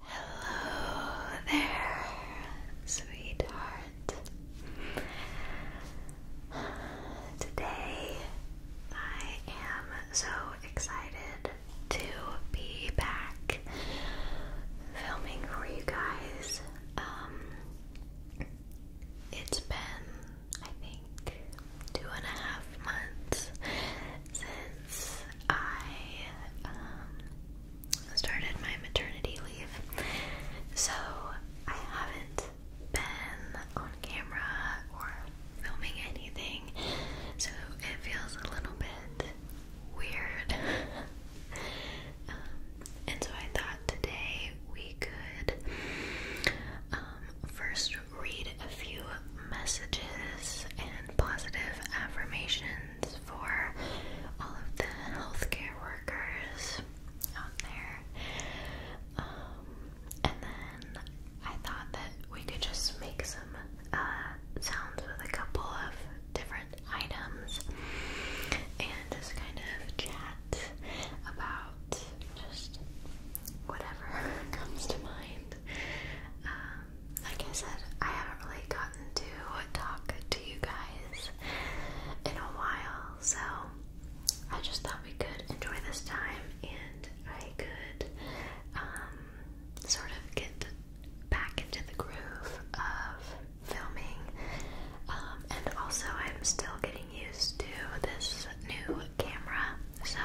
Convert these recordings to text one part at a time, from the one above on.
Hello there, sweetheart. Today I am so excited to be back filming for you guys. Um, it's been, I think, two and a half months since I um, started my maternity leave. So I haven't been on camera or filming anything, so it feels a little bit weird. Um, and so I thought today we could um, first read a few messages and positive affirmations for all of the healthcare workers out there. Um, and then I thought that we could just make some uh, sounds with a couple of different items and just kind of chat about just whatever comes to mind. Um, like I said, I haven't really gotten to talk to you guys in a while, so I just thought we could enjoy this time and I could um, sort of get back into the groove of filming. Um, and also, I'm still getting used to this new camera, so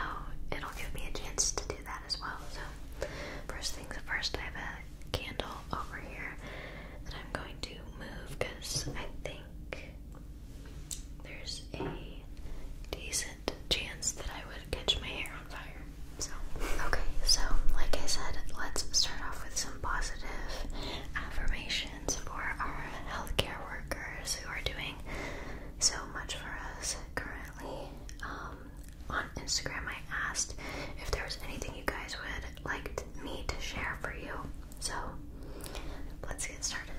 it'll give me a chance to do that as well. So. First things first, I have a candle over here that I'm going to move because I think there's a decent chance that I would catch my hair on fire. So, okay, so like I said, let's start off with some positive affirmations for our healthcare workers who are doing so much for us currently. Um, on Instagram, I asked if there was anything you guys would like me to share for you. So let's get started.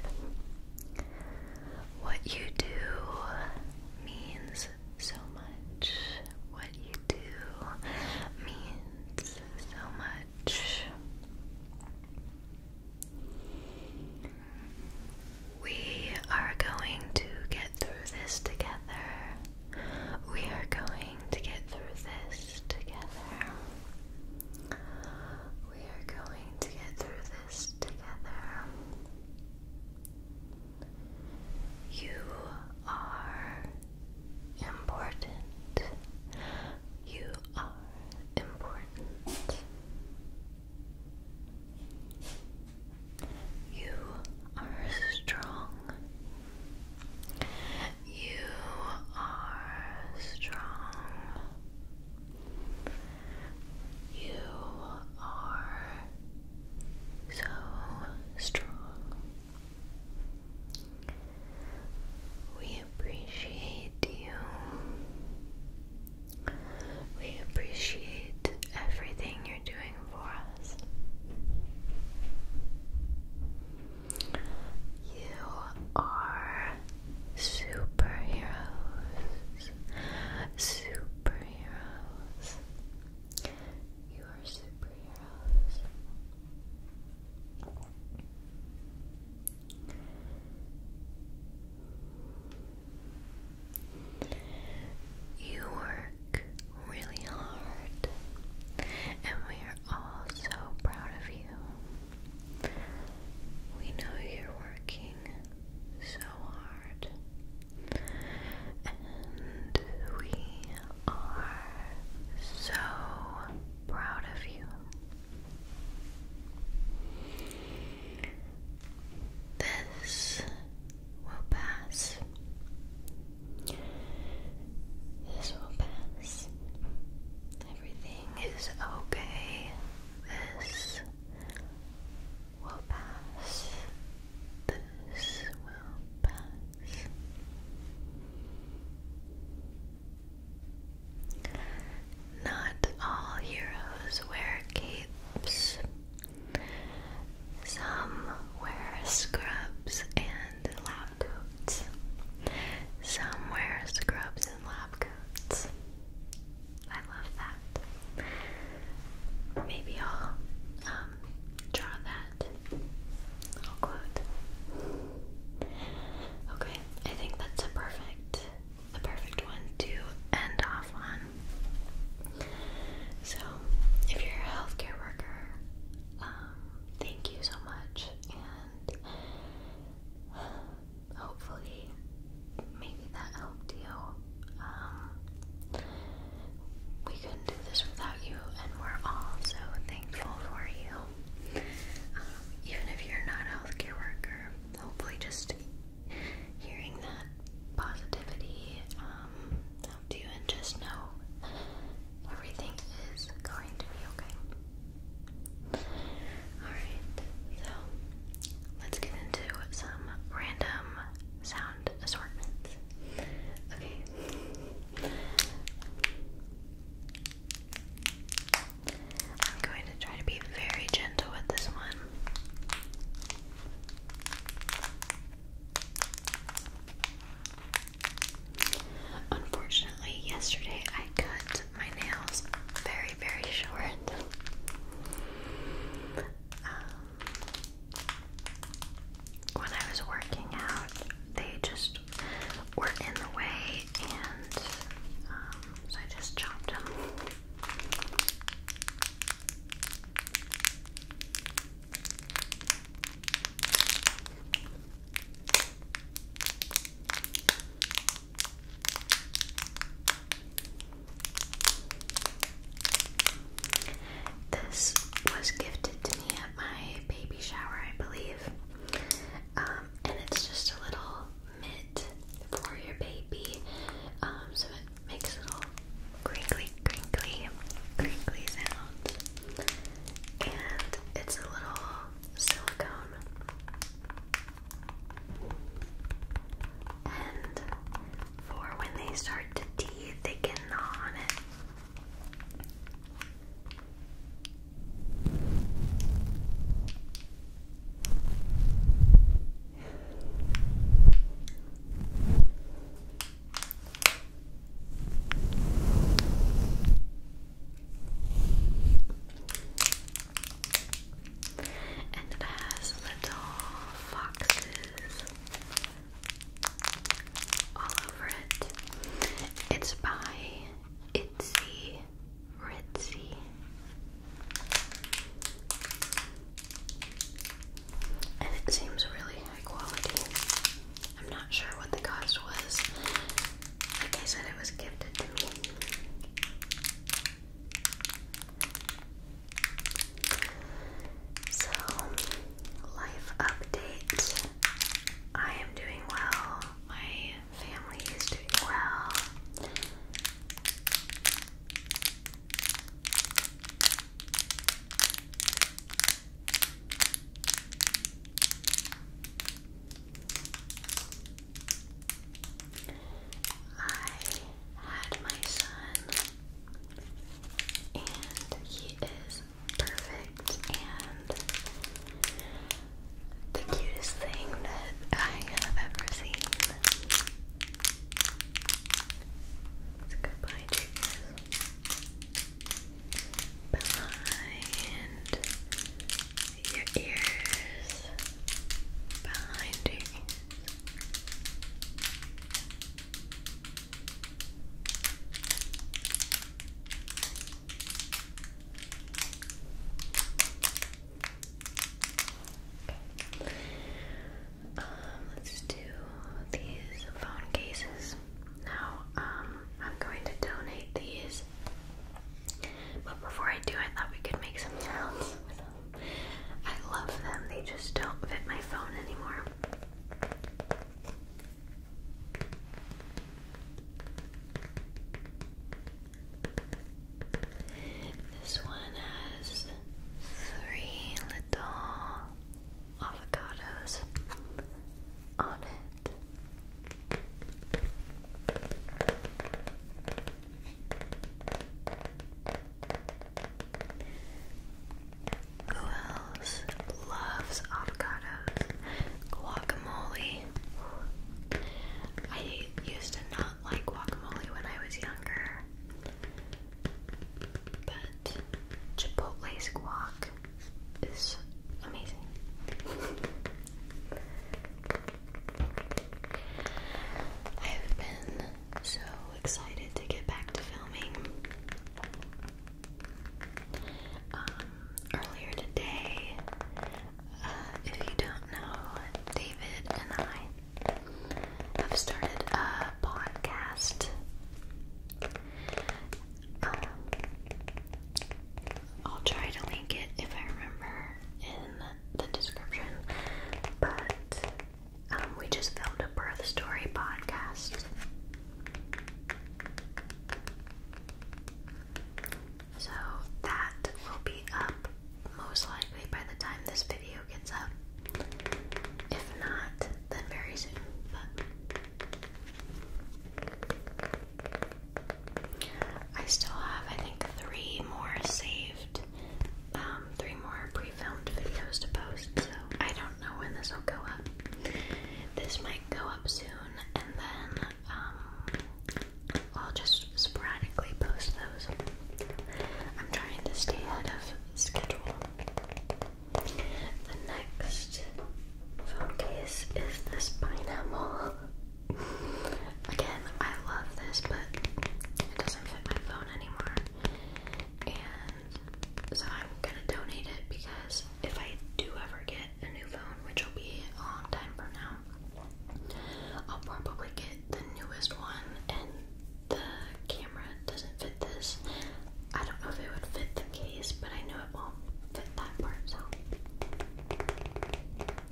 What you do means so much. What you do means so much. We are going to get through this together. We are going to get through this together. We are going to get through this together. You are important. You are important. You are strong. You are strong. You are so strong. We appreciate you. We appreciate everything you're doing for us. You are superheroes. Superheroes. You are superheroes. You work really hard, and we are all so proud of you. We know you're working so hard, and we are so proud of you. This will pass. This will pass. Everything is okay. This will pass. This will pass. Not all heroes wear capes. Some wear scrubs and lab coats. Some wear scrubs and lab coats. I love that. Maybe I'll um, draw that. I'll quote. Okay, I think that's perfect the perfect one to end off on. So, if you're a healthcare worker, um, thank you so much, and hopefully, maybe that helped you. Um, we couldn't do this without you, and we're all so thankful for you. Um, even if you're not a healthcare worker, hopefully, just hearing that positivity um, helped you, and just know everything is going to be okay. Alright, so let's get into some random sound assortments. Okay. I'm going to try to be very gentle with this one. Unfortunately, yesterday I cut my nails very, very short. Um, when I was working out, they just were in the way, and um, so I just chopped them. This was gifted to me at my baby shower, I believe. Um, and it's just a little mitt for your baby. Um, so makes little crinkly, crinkly, crinkly sounds. And it's a little silicone. And for when they start to teeth, on it. And it has little foxes all over it. It's by Itzy Ritzy. And it seems really high quality. I'm not sure what the cost was. Like I said, it was gifted to me. So, life update. I am doing well. My family is doing well had my son, and he is perfect and the cutest thing that I have ever seen. It's goodbye Behind your ears. Behind your ears. Um, let's do these phone cases. Now, um, I'm going to donate these. But before I do, I thought we could make some sounds with them. I love them, they just don't fit my phone anymore. This one has three little avocados on it. Who else loves avocados? Guacamole. I used to not like guacamole when I was younger. But Chipotle's guac is amazing. I've been so excited to get back to filming. Um, earlier today, uh, if you don't know, David and I I've started a podcast. Um, I'll try to link it if I remember in the description, but um, we just filmed a birth story podcast. So that will be up most likely by the time this video gets up. If not, then very soon. But I still have, I think, three more saved, um, three more pre filmed videos to post, so I don't know when this will go up. This might go up soon, and then, um, I'll just sporadically post those. I'm trying to stay ahead of schedule. The next phone case is this pineapple. Again, I love this, but it doesn't fit my phone anymore. And so I'm gonna donate it because if I do ever get a new phone, which will be a long time from now, I'll probably get the newest one, and the camera doesn't fit this. I don't know if it would fit the case, but I know it won't fit that part, so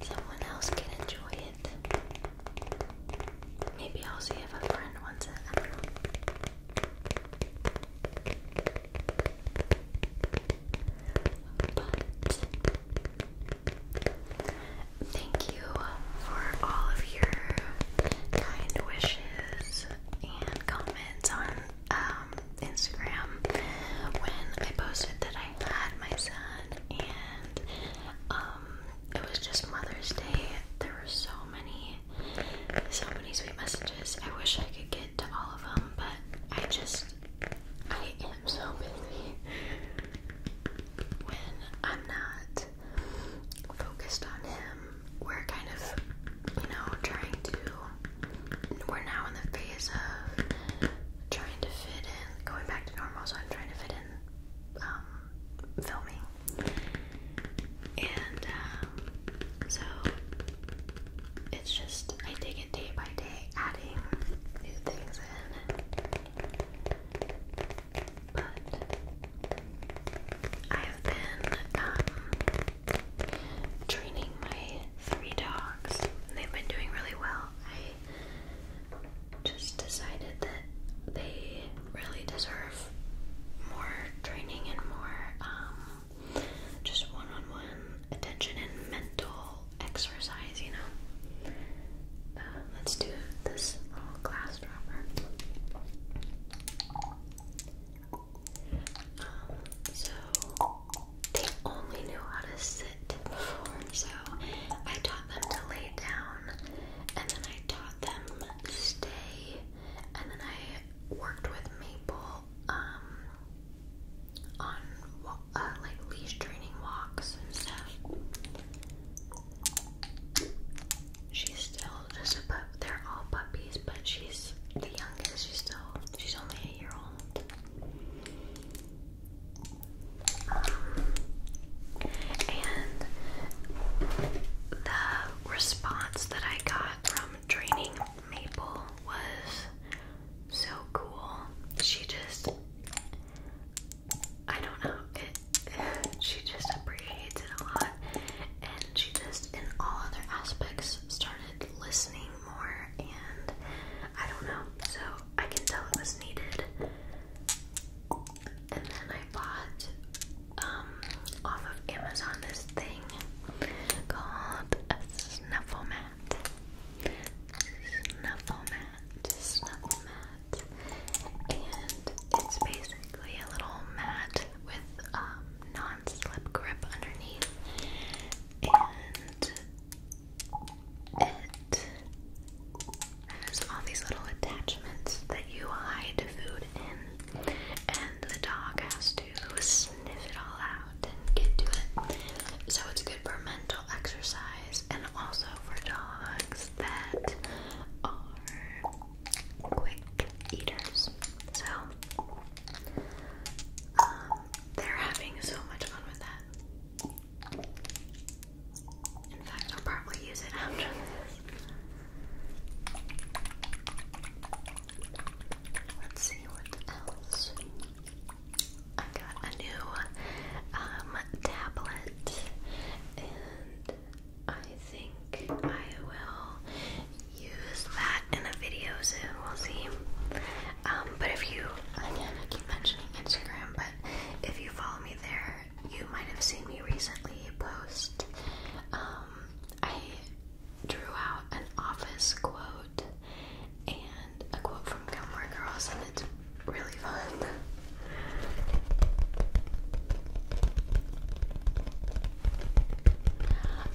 someone else can enjoy it. Maybe I'll see if a friend wants it. But Thank you for all of your kind wishes and comments on um, Instagram when I posted that I had my son and um, it was just Mother's Day. There were so many, so many sweet messages. I wish I could get to all of them, but I just, I am so busy when I'm not focused on him, we're kind of, you know, trying to. We're now in the phase of trying to fit in, going back to normal, so I'm trying to fit in um, filming. And um, so it's just, I take it day by day, adding new things in. But I have been um, training my three dogs, they've been doing really well. I just decided that they really deserve more training and more um, just one on one attention and mental exercise, you know. Uh, let's do this little glass dropper. Um, so they only knew how to sit so I taught them to lay down, and then I taught them stay, and then I worked with Maple um, on uh, like leash training walks and stuff. She's still just a pup. They're all puppies, but she's the youngest. She's still she's only a year old. and the response that I got from training Maple was so cool. She just I don't know. she just appreciates it a lot, and she just, in all other aspects, started listening more. And I don't know, so I can tell it was needed. And then I bought um off of Amazon this thing called a snuffle mat. Snuffle mat mat, snuggle mat, and it's basically a little mat with um, non-slip grip underneath, and it has all these little attachments that you hide food in, and the dog has to sniff it all out and get to it. So it's good good for mental exercise and also for dogs that are quick eaters. So, um, they're having so much fun with that. In fact, I'll probably use it after this. Let's see what else I got a new um, tablet, and I think I will use that in a video soon. We'll see. Um, but if you, again, I keep mentioning Instagram, but if you follow me there, you might have seen me recently post. Um, I drew out an office quote and a quote from Gilmore Cross, and it's really fun.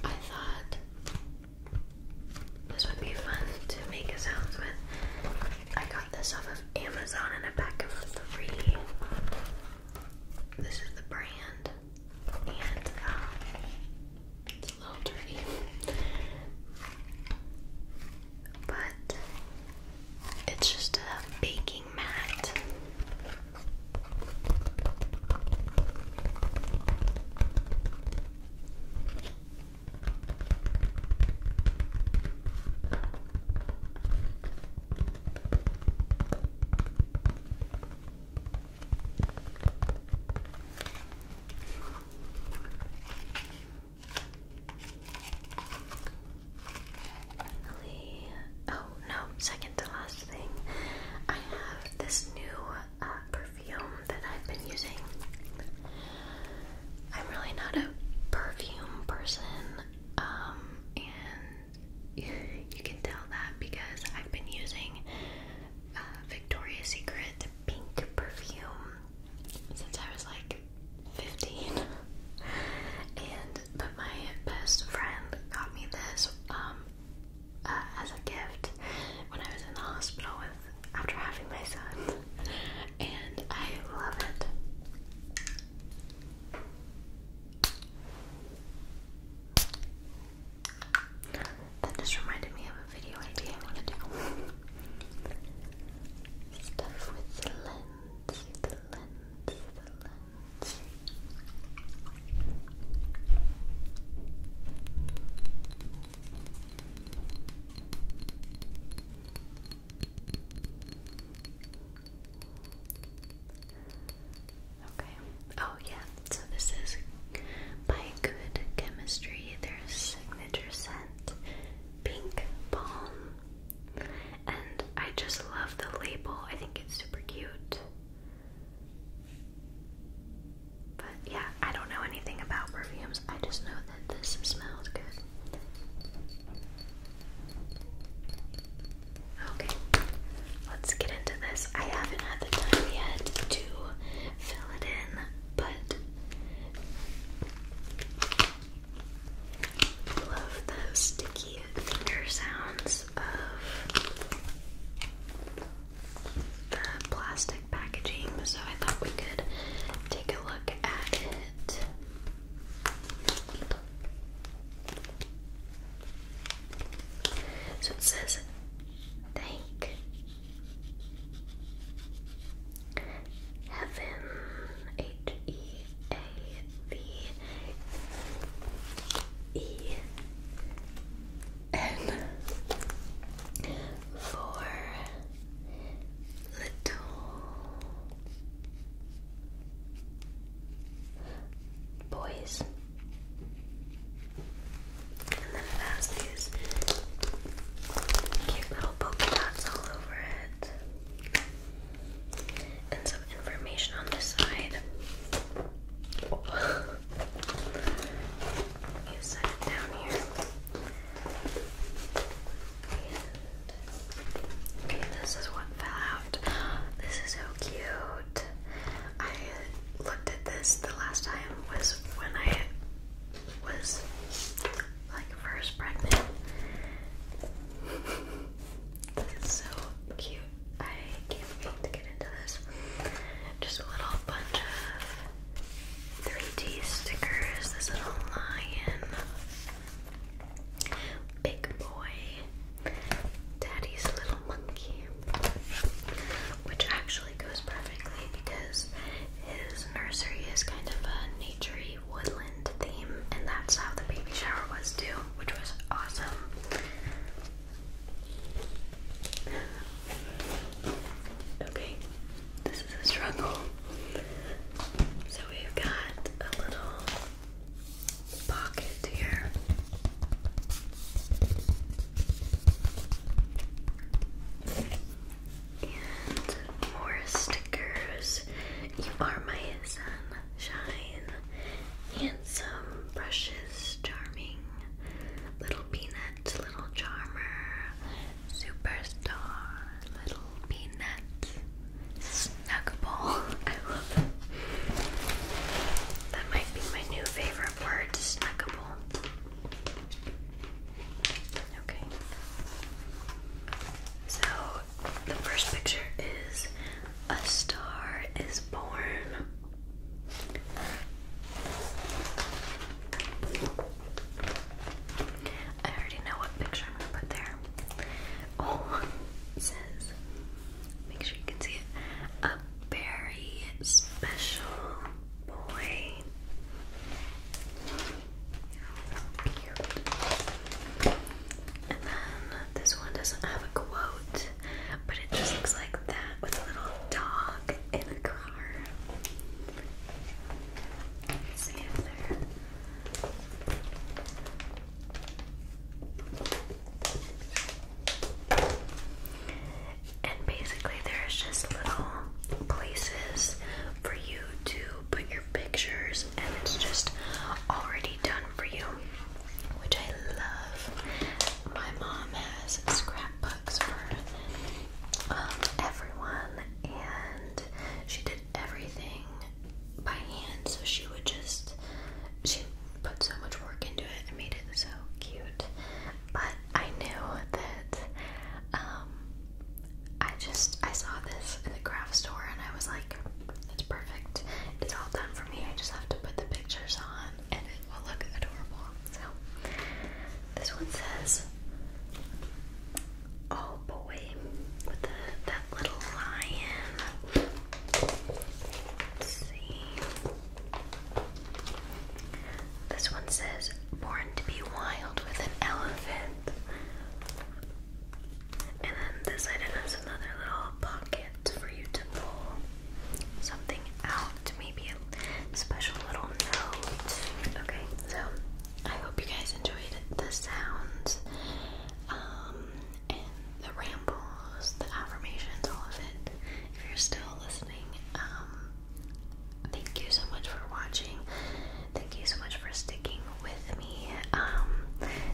I thought this would be fun to make a with. I got this off of Amazon in a pack of three. This is the brand, and um, it's a little dirty but it's just a baking mat. Finally, oh no, second to last thing. I have this new uh, perfume that I've been using. I'm really not a perfume person, um, and you can tell that because I've been using uh, Victoria's Secret pink perfume since I was like 15. and but my best friend got me this um, uh, as a gift when I was in the hospital with after having my son, and I love it. That just reminded me of video idea I want to do. Stuff with the lens, the lens, the lens. Okay. Oh yeah. So this is by Good Chemistry. Their signature scent pink balm. And I just love the label. I think it's super cute. But yeah, I don't know anything about perfumes. I just know that this smells good. Okay, let's get into this. I haven't had the time yet to fill it in but love those sticky finger sounds of the plastic packaging, so I thought we could take a look at it. So it says, thank Heaven H E A V E N for little boys cute little polka dots all over it. And some information on this side. you down here. okay, this is what fell out. This is so cute. I looked at this the last time was when I was like first pregnant. this is so cute. I can't wait to get into this. Just a little bunch of 3D stickers. This little lion, big boy, daddy's little monkey, which actually actually goes perfectly because his nursery is kind of a naturey woodland theme, and that's how the baby shower was too, which was awesome. Okay, this is a struggle. So we've got a little pocket here more stickers. You are my sunshine. Handsome brushes, charming. Little peanut, little charmer. Superstar, little peanut. Snuggable. I love it. That might be my new favorite word, snuggable. Okay. So the first picture is a star is born. I already know what picture I'm gonna put there. Oh, says, make sure you can see it, a very special boy. Oh, cute. And then this one doesn't have a quote, but it just looks like that with a little dog in a car. Let's see if there and basically there's just little places for you to put your pictures and it's just already done for you which I love. My mom has scrapbooks for um, everyone and she did everything by hand so she would just she put so much work into it and made it so cute. But I knew that um, I just I saw this in the craft store and I was like, it's perfect. It's all done for me. I just have to put the pictures on and it will look adorable. So this one says Oh boy with the that little lion. see. This one says, Born to be wild with an elephant. And then this item has another little pocket for you to pull something out. Maybe a special little note. Okay, so I hope you guys enjoyed the sounds um, and the rambles, the affirmations, all of it. If you're still listening, um, Thank you so much for watching. Thank you so much for sticking with me. Um,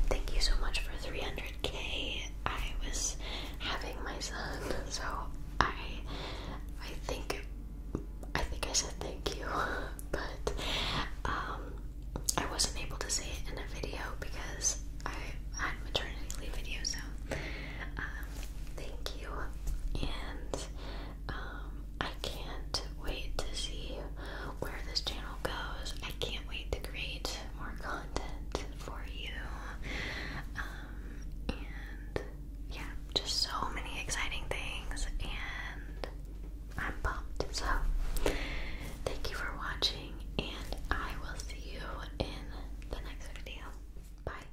thank you so much for 300k. I was having my son, so I, I think, I think I said thank you, but um, I wasn't able to say it in a video because I had maternity leave video. So, um, thank you, and. Um, I can't wait to see where this channel goes. I can't wait to create more content for you. Um, and yeah, just so many exciting things, and I'm pumped. So, thank you for watching, and I will see you in the next video. Bye.